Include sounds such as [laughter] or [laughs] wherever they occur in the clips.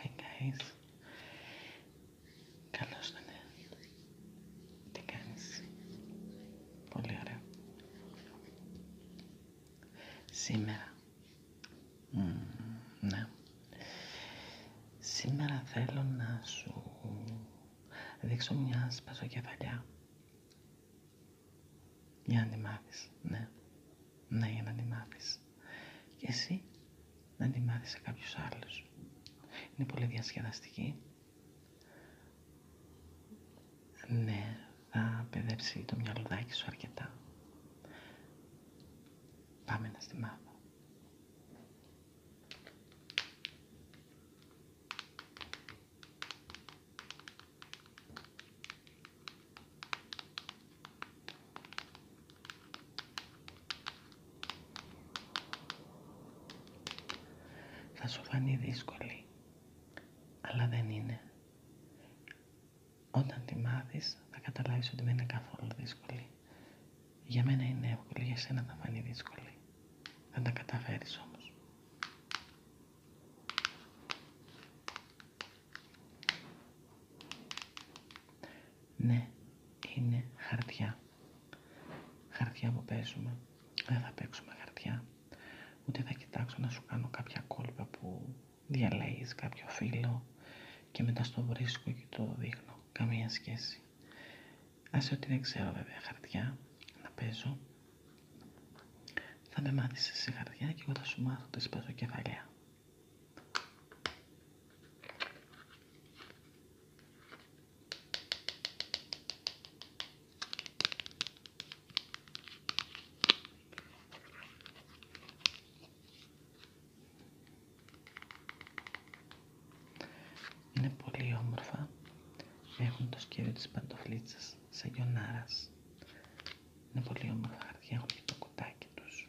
Hey guys. Καλώς το ναι. Τι κάνει Πολύ ωραία. Σήμερα. ναι. Σήμερα θέλω να σου δείξω μια σπασοκεφαλιά για να τη μάθεις, ναι. Ναι, για να τη μάθεις. Και εσύ να τη μάθεις σε κάποιους άλλους. Είναι πολύ διασκεδαστική. Ναι, θα παιδέψει το μυαλουδάκι σου αρκετά. Πάμε να στη μάθω. Θα σου φανεί δύσκολη, αλλά δεν είναι. Όταν τη μάθεις θα καταλάβεις ότι δεν είναι καθόλου δύσκολη. Για μένα είναι εύκολη, για σένα θα φανεί δύσκολη. Θα τα καταφέρεις όμως. Ναι, είναι χαρτιά. Χαρτιά που παίζουμε. Δεν θα παίξουμε χαρτιά. Ούτε θα κοιτάξω να σου κάνω κάποια κόλπα που διαλέγεις κάποιο φύλλο και μετά στο βρίσκω και το δείχνω. Καμία σχέση. Άσε ότι δεν ξέρω βέβαια χαρτιά να παίζω. Θα με μάθεις σε χαρτιά και εγώ θα σου μάθω τις παίζω κεφαλιά. Είναι πολύ όμορφα. Έχουν το σκεύιο της παντοφλίτσας σαν γιονάρας. Είναι πολύ όμορφα χαρτιά. Έχουν και το κουτάκι τους.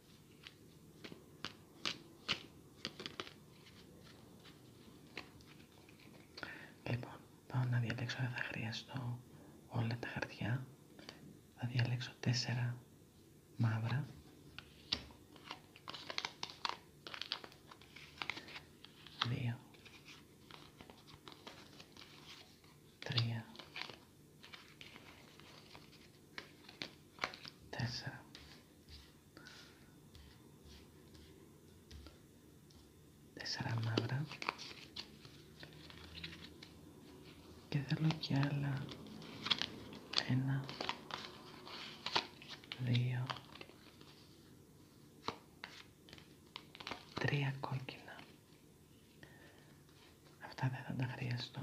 Λοιπόν, πάω να διαλέξω, αν θα χρειαστώ όλα τα χαρτιά. Θα διαλέξω τέσσερα μαύρα. Δύο. Τρία. Τέσσερα τέσσερα μαύρα και θέλω και άλλα ένα, δύο, τρία κόκκινα. Αυτά δεν θα τα χρειαστώ.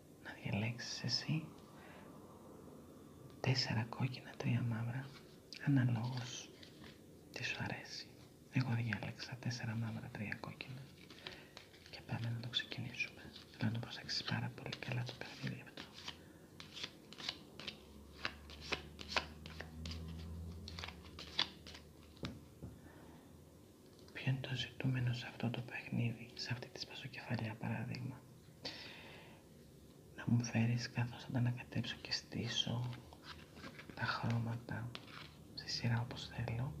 να διαλέξεις εσύ τέσσερα κόκκινα, τρία μαύρα, αναλόγως τι σου αρέσει. Εγώ διάλεξα τέσσερα μαύρα, τρία κόκκινα και πάμε να το ξεκινήσουμε. Θέλω να το προσέξεις πάρα πολύ καλά το παιχνίδι αυτό. Ποιο είναι το ζητούμενο σε αυτό το παιχνίδι, σε αυτή τη σπασοκεφαλιά παράδειγμα να μου φέρεις καθώς θα τα ανακατέψω και στήσω τα χρώματα στη σειρά όπως θέλω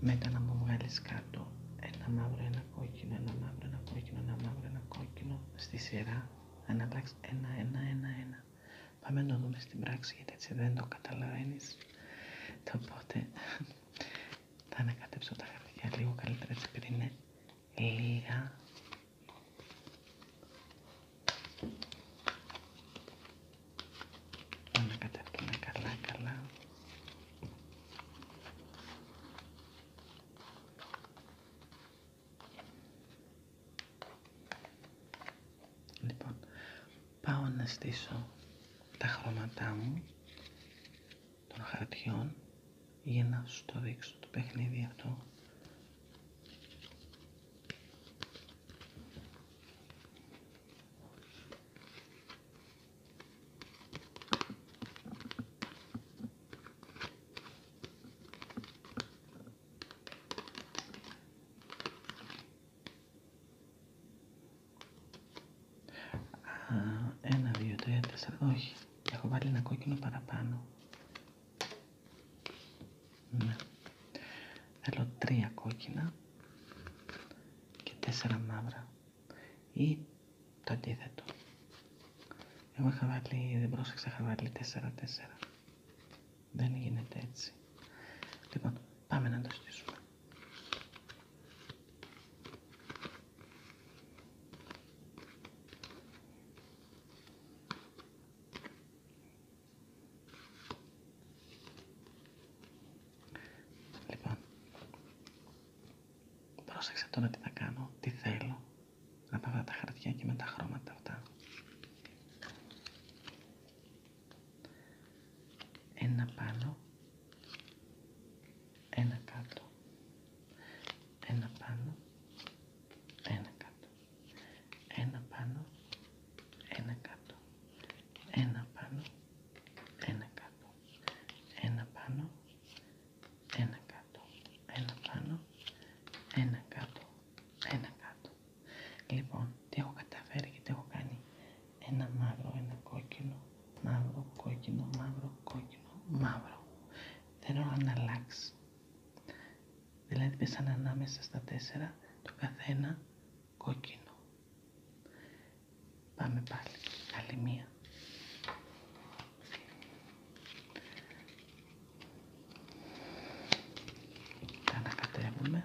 μετά να μου βγάλεις κάτω ένα μαύρο, ένα κόκκινο, ένα μαύρο, ένα κόκκινο, ένα μαύρο, ένα κόκκινο στη σειρά ανατάξει ένα, ένα, ένα, ένα πάμε να το δούμε στην πράξη γιατί έτσι δεν το καταλαβαίνεις πότε... Θα ανακατέψω τα χαρτιά λίγο καλύτερα έτσι επειδή είναι λίγα. Θα καλά καλά. Λοιπόν, πάω να στήσω τα χρώματά μου των χαρτιών για να σου το δείξω το παιχνίδι αυτό ένα, δύο, τρία, τέσσερα, όχι. Έχω βάλει ένα κόκκινο παραπάνω. Ναι. Θέλω τρία κόκκινα και τέσσερα μαύρα. Ή το αντίθετο. Εγώ είχα βάλει, δεν πρόσεξα, είχα βάλει τέσσερα, τέσσερα. Δεν γίνεται έτσι. Λοιπόν, πάμε να το στήσουμε. Λοιπόν, πρόσεξε τώρα τι θα κάνω, τι θέλω. Να τα βάλω τα χαρτιά και με τα χρώματα αυτά. Ένα πάνω ένα κάτω, ένα πάνω, ένα κάτω, ένα πάνω, ένα κάτω, ένα πάνω, ένα κάτω, ένα πάνω, ένα κάτω, ένα πάνω, ένα κάτω, ένα κάτω. Λοιπόν, τι έχω καταφέρει και τι έχω κάνει. Ένα μαύρο, ένα κόκκινο, μαύρο, κόκκινο, μαύρο, κόκκινο, μαύρο. Δεν να αλλάξει. Δηλαδή πέσαν ανάμεσα στα τέσσερα το καθένα κόκκινο. Πάμε πάλι. Άλλη μία. ανακατεύουμε.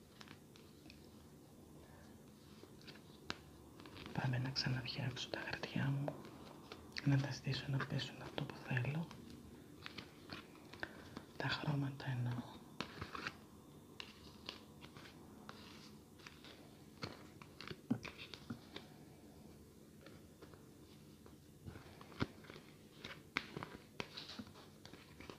Πάμε να ξαναφτιάξω τα χαρτιά μου, να τα στήσω να πέσουν αυτό που θέλω. Τα χρώματα εννοώ.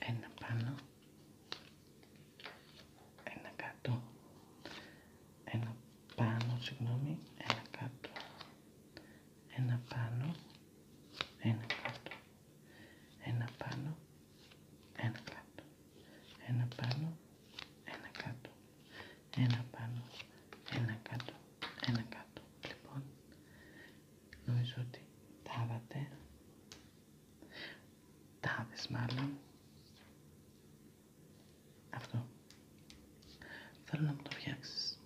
ένα πάνω, ένα κάτω, ένα πάνω, συγγνώμη, ένα κάτω, ένα πάνω, ένα κάτω, ένα πάνω, ένα κάτω, ένα πάνω, ένα κάτω, ένα πάνω, ένα κάτω, ένα κάτω. Λοιπόν, νομίζω ότι τα τάδες μάλλον αυτό θέλω να μου το φτιάξεις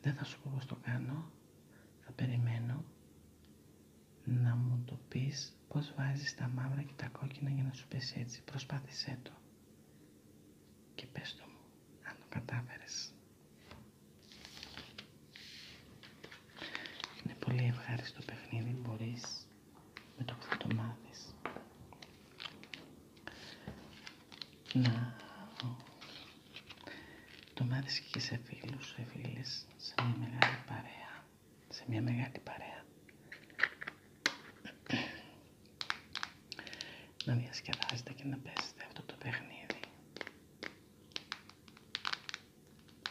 δεν θα σου πω πως το κάνω θα περιμένω να μου το πεις πως βάζεις τα μαύρα και τα κόκκινα για να σου πέσει έτσι προσπάθησέ το και πες το μου αν το κατάφερες είναι πολύ ευχάριστο παιχνίδι, μπορείς με το που θα το μάθεις να το μάθεις και σε φίλους, σε φίλες, σε μια μεγάλη παρέα, σε μια μεγάλη παρέα. να διασκεδάσετε και να παίζετε αυτό το παιχνίδι.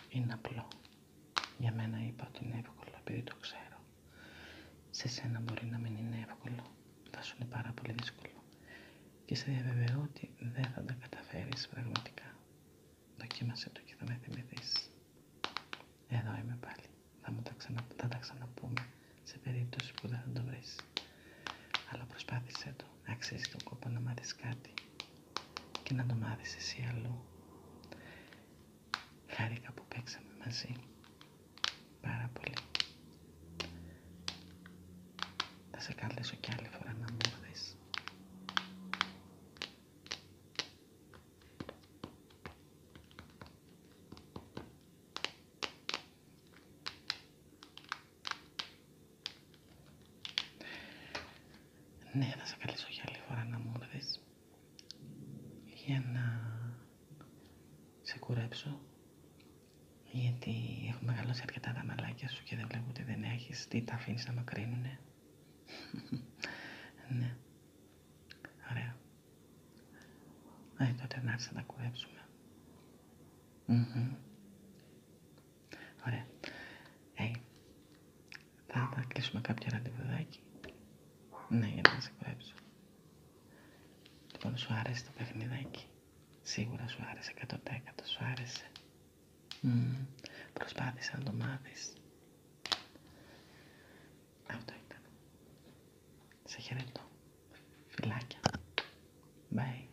Είναι απλό. Για μένα είπα ότι είναι εύκολο επειδή το ξέρω. Σε σένα μπορεί να μην είναι εύκολο. Θα σου είναι πάρα πολύ δύσκολο. Και σε διαβεβαιώ ότι δεν θα τα καταφέρεις πραγματικά. Δοκίμασε το και θα με θυμηθείς. Εδώ είμαι πάλι. Θα, μου τα, θα τα ξαναπούμε σε περίπτωση που δεν θα το βρεις. Αλλά προσπάθησέ το να αξίζει τον κόπο να μάθεις κάτι και να το μάθεις εσύ αλλού. Χάρηκα που παίξαμε μαζί. Πάρα πολύ. Θα σε καλέσω κι άλλη φορά να μου ναι, θα σε καλέσω για άλλη φορά να μου έρθεις για να σε κουρέψω γιατί έχω μεγαλώσει αρκετά τα μαλάκια σου και δεν βλέπω ότι δεν έχεις τι τα αφήνεις να μακρύνουνε, [laughs] ναι. Ωραία. Ε, τότε να έρθεις να τα κουρεψουμε Ωραία. Hey. Θα, θα κλείσουμε κάποια ραντεβουδάκι. Ναι, για να σε κουρέψω. Λοιπόν, σου άρεσε το παιχνιδάκι. Σίγουρα σου άρεσε 100% σου άρεσε. Mm. Προσπάθησα να το μάθεις. Αυτό ήταν. Σε χαιρετώ. Φιλάκια. Bye.